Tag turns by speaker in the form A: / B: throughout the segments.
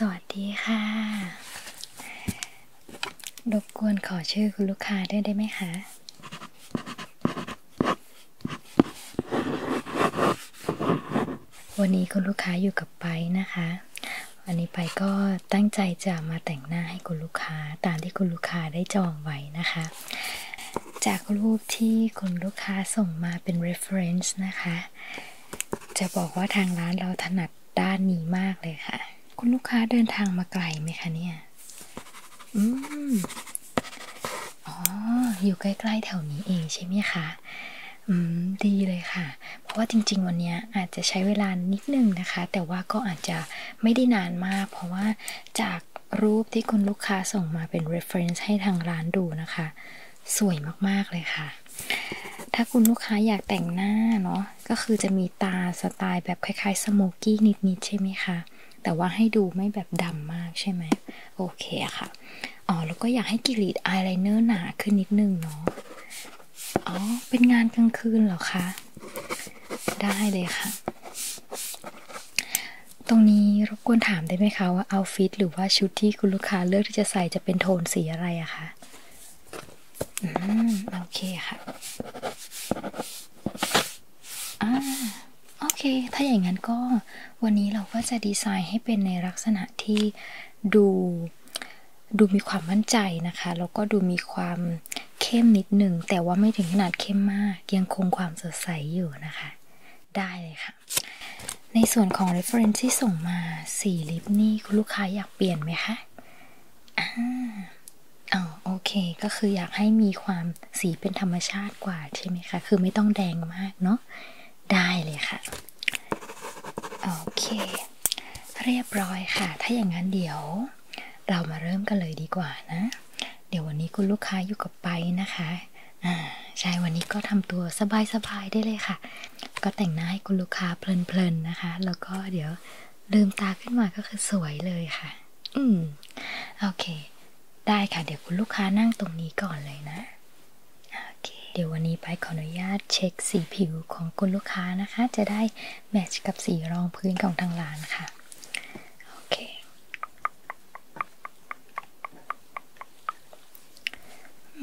A: สวัสดีค่ะ รบกวนขอชื่อคุณลูกค้าด้ได้ไหมคะ วันนี้คุณลูกค้าอยู่กับไปนะคะอันนี้ไปก็ตั้งใจจะมาแต่งหน้าให้คุณลูกค้าตามที่คุณลูกค้าได้จองไว้นะคะ จากรูปที่คุณลูกค้าส่งมาเป็น reference นะคะ จะบอกว่าทางร้านเราถนัดด้านนี้มากเลยค่ะ คุณลูกค้าเดินทางมาไกลไหมคะเนี่ยอืมอ๋ออยู่ใกล้ๆแถวนี้เองใช่ไหมคะอืมดีเลยค่ะ เพราะว่าจริงๆ วันนี้อาจจะใช้เวลานิดนึงนะคะ แต่ว่าก็อาจจะไม่ได้นานมาก เพราะว่าจากรูปที่คุณลูกค้าส่งมาเป็น reference ให้ทางร้านดูนะคะ สวยมากๆเลยค่ะ ถ้าคุณลูกค้าอยากแต่งหน้าเนาะก็คือจะมีตาสไตล์แบบคล้ายๆสโมกกี้นิดๆใช่ไหมคะ แต่ว่าให้ดูไม่แบบดำมากใช่ไหมโอเคค่ะ อ๋อแล้วก็อยากให้กิริดอายไลเนอร์หนาขึ้นนิดนึงเนาะอ๋อ เป็นงานกลางคืนเหรอคะ ได้เลยค่ะ ตรงนี้ รบกวนถามได้ไหมคะว่าเอาฟิต หรือว่าชุดที่คุณลูกค้าเลือกที่จะใส่ จะเป็นโทนสีอะไรอะคะอืมโอเคค่ะอ่าโอเค ถ้าอย่างนั้นก็ วันนี้เราก็จะดีไซน์ให้เป็นในลักษณะที่ดู ดูมีความมั่นใจนะคะ แล้วก็ดูมีความเข้มนิดหนึ่ง แต่ว่าไม่ถึงขนาดเข้มมาก ยังคงความสดใสอยู่นะคะ ได้เลยค่ะ ในส่วนของ reference ที่ส่งมาสี่ลิปนี่ คุณลูกค้าอยากเปลี่ยนไหมคะอ่าอ๋อโอเค ก็คืออยากให้มีความสีเป็นธรรมชาติกว่าใช่ไหมคะ คือไม่ต้องแดงมากเนาะได้เลยค่ะ โอเค เรียบร้อยค่ะ ถ้าอย่างนั้นเดี๋ยวเรามาเริ่มกันเลยดีกว่านะ เดี๋ยววันนี้คุณลูกค้าอยู่กับไปนะคะ อ่าใช่ วันนี้ก็ทำตัวสบายๆได้เลยค่ะ ก็แต่งหน้าให้คุณลูกค้าเพลินๆนะคะ แล้วก็เดี๋ยวลืมตาขึ้นมาก็คือสวยเลยค่ะ อืมโอเค ได้ค่ะ เดี๋ยวคุณลูกค้านั่งตรงนี้ก่อนเลยนะ โอเค เดี๋ยววันนี้ไปขออนุญาตเช็คสีผิวของคุณลูกค้านะคะ จะได้แมทช์กับสีรองพื้นของทางร้านค่ะ โอเค
B: อ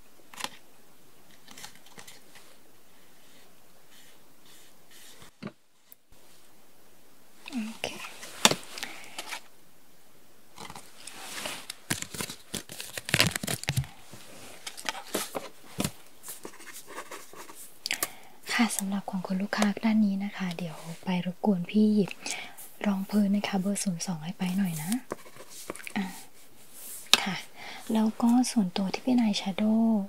A: Okay. ค่ะสำหรับของคุลูกค้าด้านนี้นะคะ เดี๋ยวไปรบกวนพี่หยิบรองพื้นนะคะ เบอร์ศูนย์สองให้ไปหน่อยนะอะค่ะแล้วก็ส่วนตัวที่พี่นายแชโดว์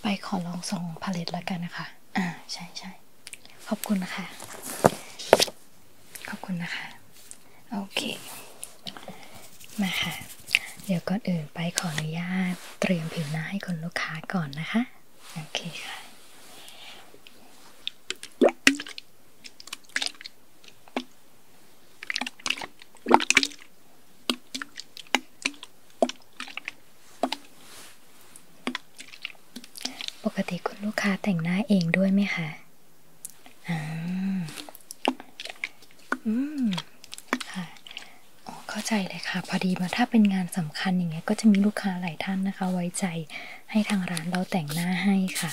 A: ไปขอลองส่งพาเลตแล้วกันนะคะ อ่าใช่ใช่ขอบคุณนะคะ ขอบคุณนะคะ โอเคมาค่ะ เดี๋ยวก่อนอื่นไปขออนุญาตเตรียมผิวหน้าให้คนลูกค้าก่อนนะคะ โอเคค่ะปกติคุณลูกค้าแต่งหน้าเองด้วยไหมคะอ่าอืม ค่ะออเข้าใจเลยค่ะ พอดีมาถ้าเป็นงานสำคัญอย่างเงี้ยก็จะมีลูกค้าหลายท่านนะคะ ไว้ใจให้ทางร้านเราแต่งหน้าให้ค่ะ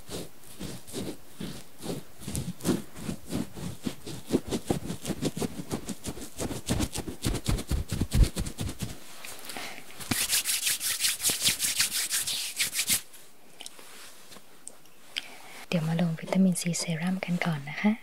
A: เดี๋ยวมาลงวิตามินซีเซรั่มกันก่อนนะคะเ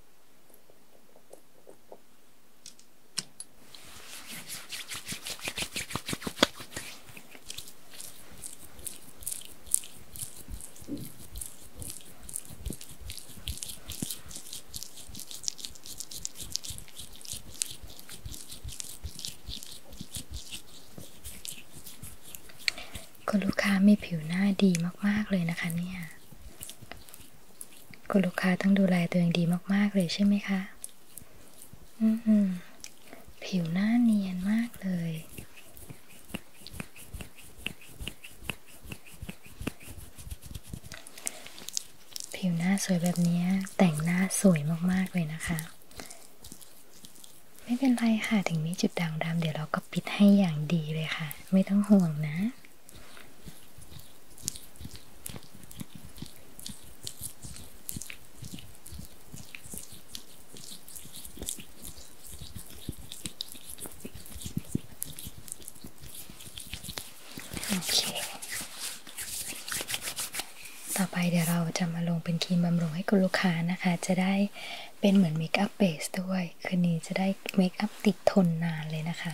A: คุณลูกค้ามีผิวหน้าดีมากๆเลยนะคะเนี่ยคุณลูกค้าต้องดูแลตัวเองดีมากๆเลยใช่ไหมคะ อืมผิวหน้าเนียนมากเลย ผิวหน้าสวยแบบนี้ แต่งหน้าสวยมากๆเลยนะคะ ไม่เป็นไรค่ะ ถึงมีจุดด่างดำเดี๋ยวเราก็ปิดให้อย่างดีเลยค่ะ ไม่ต้องห่วงนะต่อไปเดี๋ยวเราจะมาลงเป็นครีมบำรุงให้คุณลูกค้านะคะ จะได้เป็นเหมือนเมคอัพเบสด้วย คืนนี้จะได้เมคอัพติดทนนานเลยนะคะ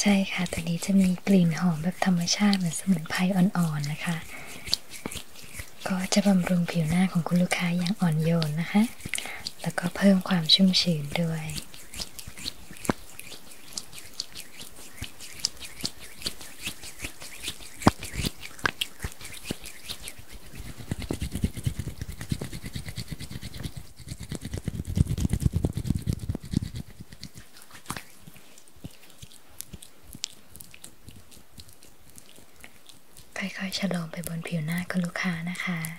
A: ใช่ค่ะตัวนี้จะมีกลิ่นหอมแบบธรรมชาติ เหมือนสมุนไพรอ่อนๆนะคะ ก็จะบำรุงผิวหน้าของคุณลูกค้าอย่างอ่อนโยนนะคะ แล้วก็เพิ่มความชุ่มชื้นด้วยค่อยๆชะโลมไปบนผิวหน้าคุณลูกค้านะคะเ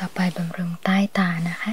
A: ต่อไปบำรุงใต้ตานะคะ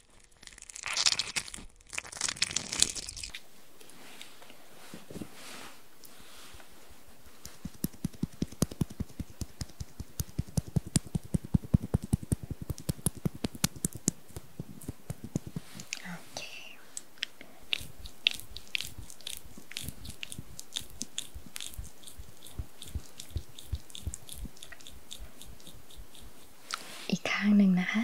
A: โอเคอีกข้างหนึ่งนะคะ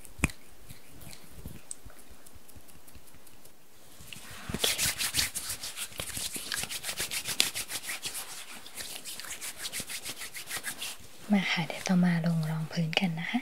A: มาค่ะ เดี๋ยวต่อมาลงรองพื้นกันนะคะ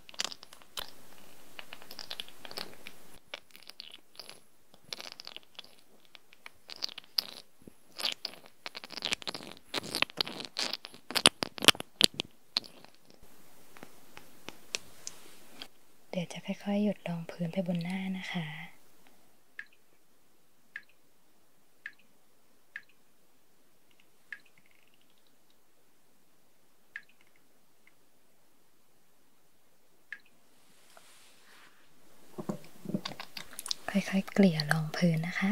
A: เดี๋ยวจะค่อยๆหยดรองพื้นไปบนหน้านะคะค่อยๆ เกลี่ยรองพื้นนะคะ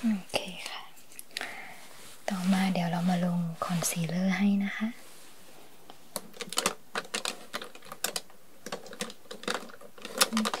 A: โอเคค่ะ ต่อมาเดี๋ยวเรามาลงคอนซีลเลอร์ให้นะคะ โอเค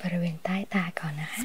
A: บริเวณใต้ตาก่อนนะคะ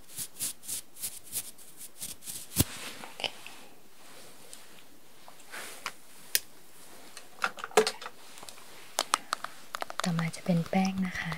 A: Okay. ต่อมาจะเป็นแป้งนะคะเ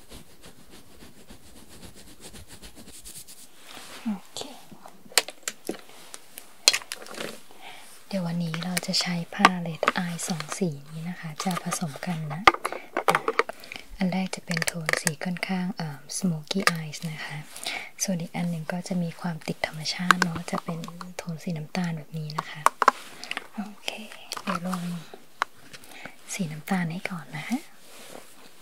A: เดี๋ยววันนี้เราจะใช้ผ้าเลดอายสองสีนี้นะคะจะผสมกันนะ อันแรกจะเป็นโทนสีค่อนข้างสโมก smoky e y นะคะ ส่วนอีกอันหนึ่งก็จะมีความติดธรรมชาติเนาะจะเป็นโทนสีน้ำตาลแบบนี้นะคะ โอเคเดี๋ยวลงสีน้ำตาลให้ก่อนนะคะ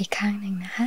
A: อีกข้างหนึ่งนะคะ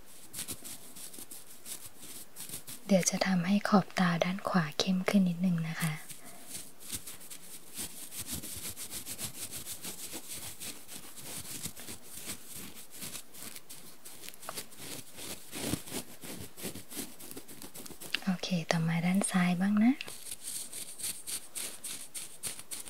A: เดี๋ยวจะทำให้ขอบตาด้านขวาเข้มขึ้นนิดนึงนะคะ โอเค ต่อมาด้านซ้ายบ้างนะ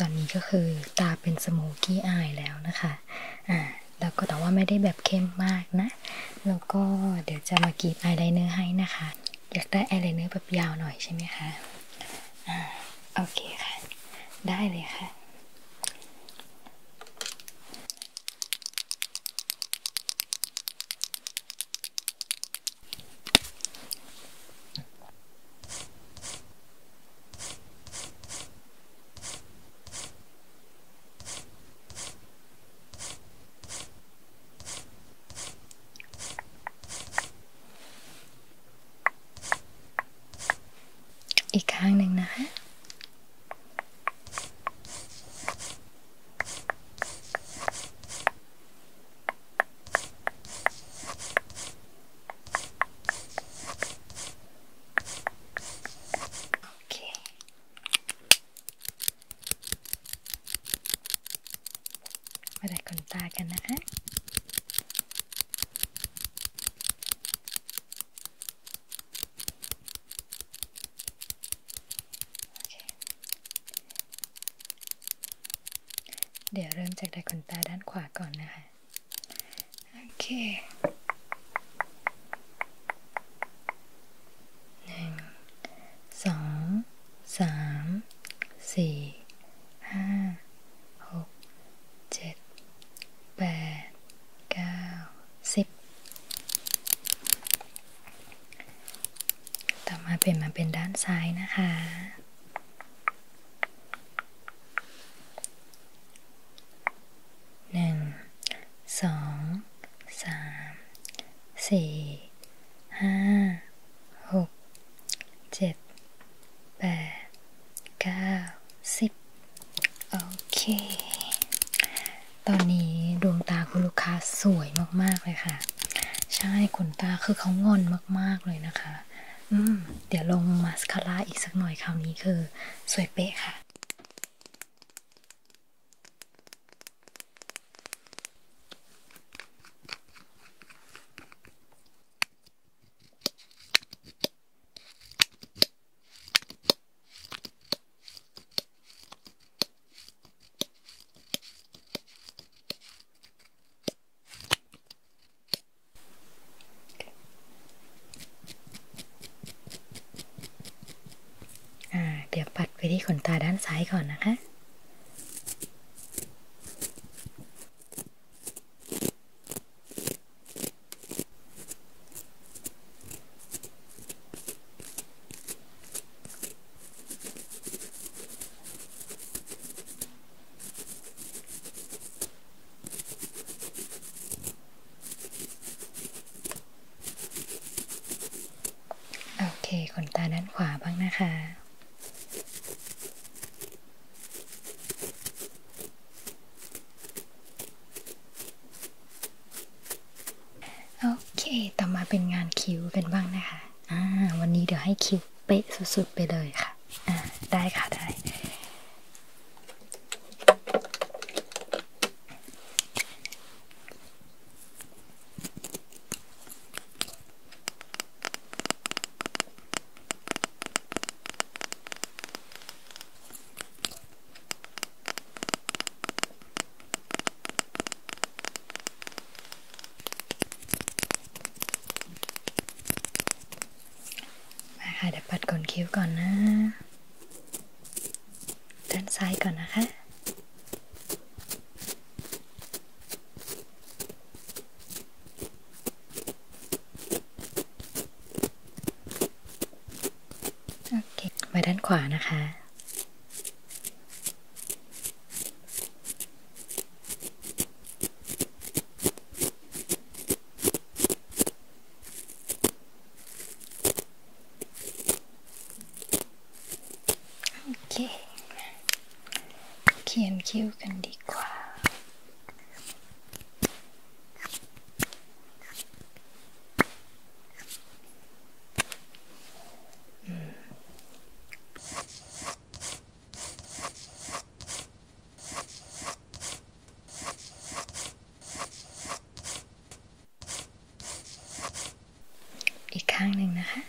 A: ตอนนี้ก็คือตาเป็นสโมกี้อายแล้วนะคะ อ่า แล้วก็แต่ว่าไม่ได้แบบเข้มมากนะ แล้วก็เดี๋ยวจะมากรีดอายไลเนอร์ให้นะคะ อยากได้อายไลเนอร์แบบยาวหน่อยใช่ไหมคะ อ่า โอเคค่ะ ได้เลยค่ะอีกครั้งหนึ่งนะคะโอเคมาดัดขนตากันนะคะเดี๋ยวเริ่มจากดัขนตาด้านขวาก่อนนะคะ โอเคหนึ่งสอง สาม สี่ ห้าหกเจ็ดแปดเก้าสิบต่อมาเปลี่ยนมาเป็นด้านซ้ายนะคะ หนึ่ง สอง สาม สี่ ห้า หก เจ็ด แปด เก้า สิบโอเคตอนนี้ดวงตาคุณลูกค้าสวยมากๆเลยค่ะ ใช่ขนตาคือเขางอนมากๆเลยนะคะ อืม เดี๋ยวลงมาสคาร่าอีกสักหน่อย คราวนี้คือ สวยเป๊ะค่ะเดี๋ยวปัดไปที่ขนตาด้านซ้ายก่อนนะคะโอเค ขนตาด้านขวาบ้างนะคะโอเค ต่อมาเป็นงานคิ้วป็นบ้างนะคะ อ่า วันนี้เดี๋ยวให้คิ้วเป๊ะสุดๆไปเลยค่ะ อ่าได้ค่ะได้มาค่ะเดี๋ยวปัดขนคิ้วก่อนนะด้านซ้ายก่อนนะคะมาด้านขวานะคะโอเคเขียนคิ้วกันดีกว่าอีกข้างหนึ่งนะคะโ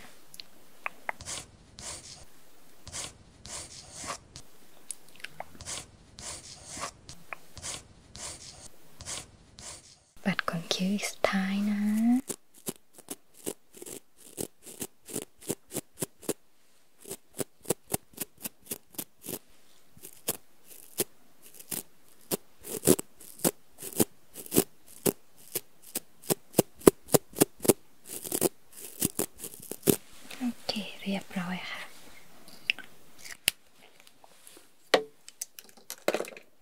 A: บัตรขนคิ้วอีกสุดท้ายนะโอเคเรียบร้อยค่ะ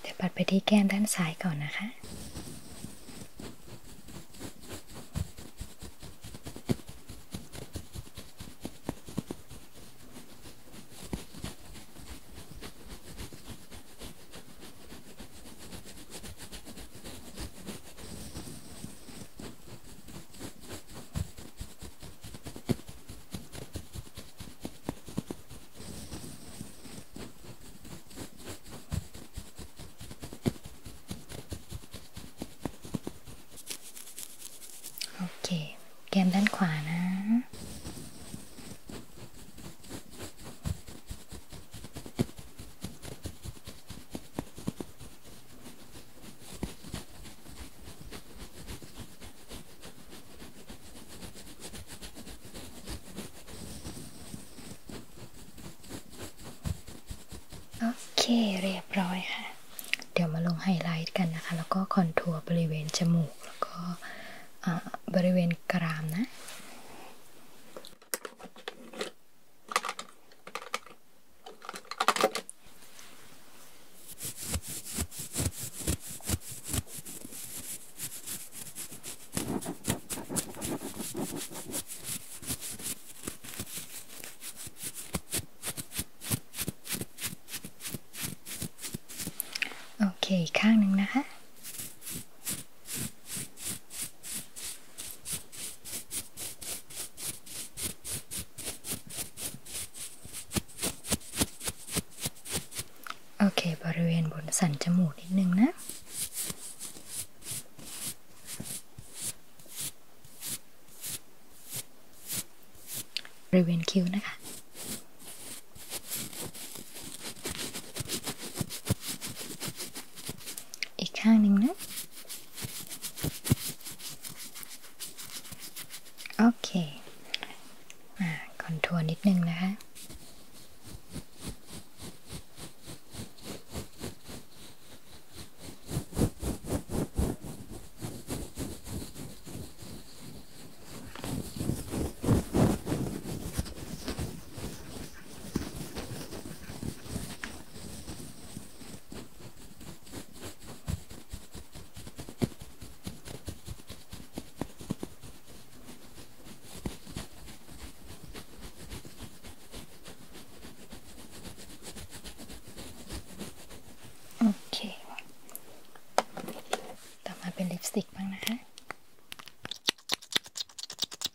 A: เดี๋ยวปัดไปที่แก้มด้านซ้ายก่อนนะคะโอเค แก้มด้านขวานะโอโอเคเรียบร้อยค่ะ เดี๋ยวมาลงไฮไลท์กันนะคะ แล้วก็คอนทัวร์บริเวณจมูก แล้วก็บริเวณกรามนะโอเคอีกข้างหนึ่งนะคะโอเค บริเวณบนสันจมูกนิดนึงนะ บริเวณคิ้วนะคะอีกข้างหนึ่งนะโอเค อ่าคอนทัวร์นิดนึงนะคะโโอเค ต่อมาเป็นลิปสติกบ้างนะคะ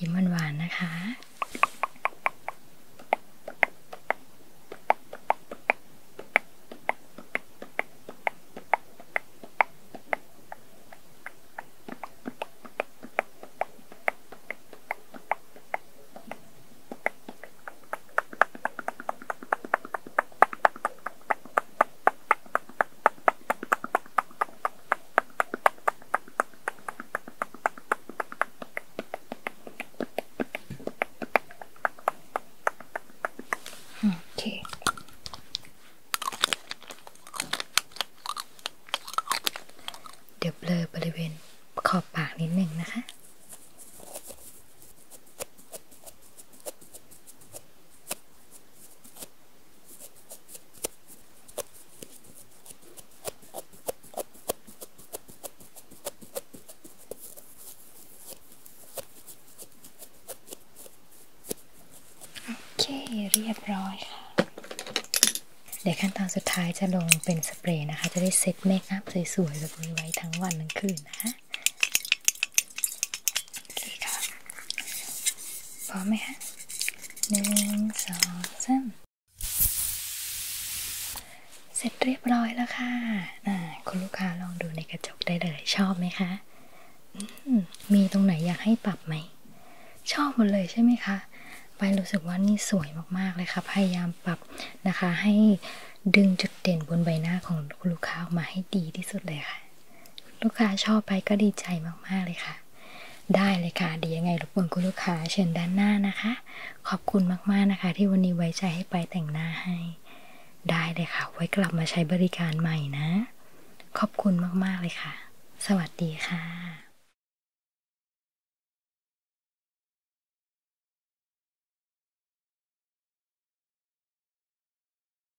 A: ยิ้มหวานๆนะคะเโอเค เดี๋ยวเบลอบริเวณขอบปากนิดหนึ่งนะคะโโอเคเรียบร้อยค่ะเดี๋ยวขั้นตอนสุดท้ายจะลงเป็นสเปรย์นะคะ จะได้เซตเมคอัพสวยๆแบบนี้ไว้ทั้งวันทั้งคืนนะคะหนึ่งสองสามเสร็จเรียบร้อยแล้วค่ะคุณลูกค้าลองดูในกระจกได้เลย ชอบไหมคะ มีตรงไหนอยากให้ปรับไหม ชอบหมดเลยใช่ไหมคะ ไปรู้สึกว่านี่สวยมากๆเลยค่ะ พยายามปรับนะคะ ให้ดึงจุดเด่นบนใบหน้าของลูกค้าออกมาให้ดีที่สุดเลยค่ะลูกค้าชอบไปก็ดีใจมากๆเลยค่ะ ได้เลยค่ะดียังไงรบกวนคุณลูกค้าเชิญด้านหน้านะคะ ขอบคุณมากๆนะคะ ที่วันนี้ไว้ใจให้ไปแต่งหน้าให้ ได้เลยค่ะ ไว้กลับมาใช้บริการใหม่นะ ขอบคุณมากๆเลยค่ะ สวัสดีค่ะ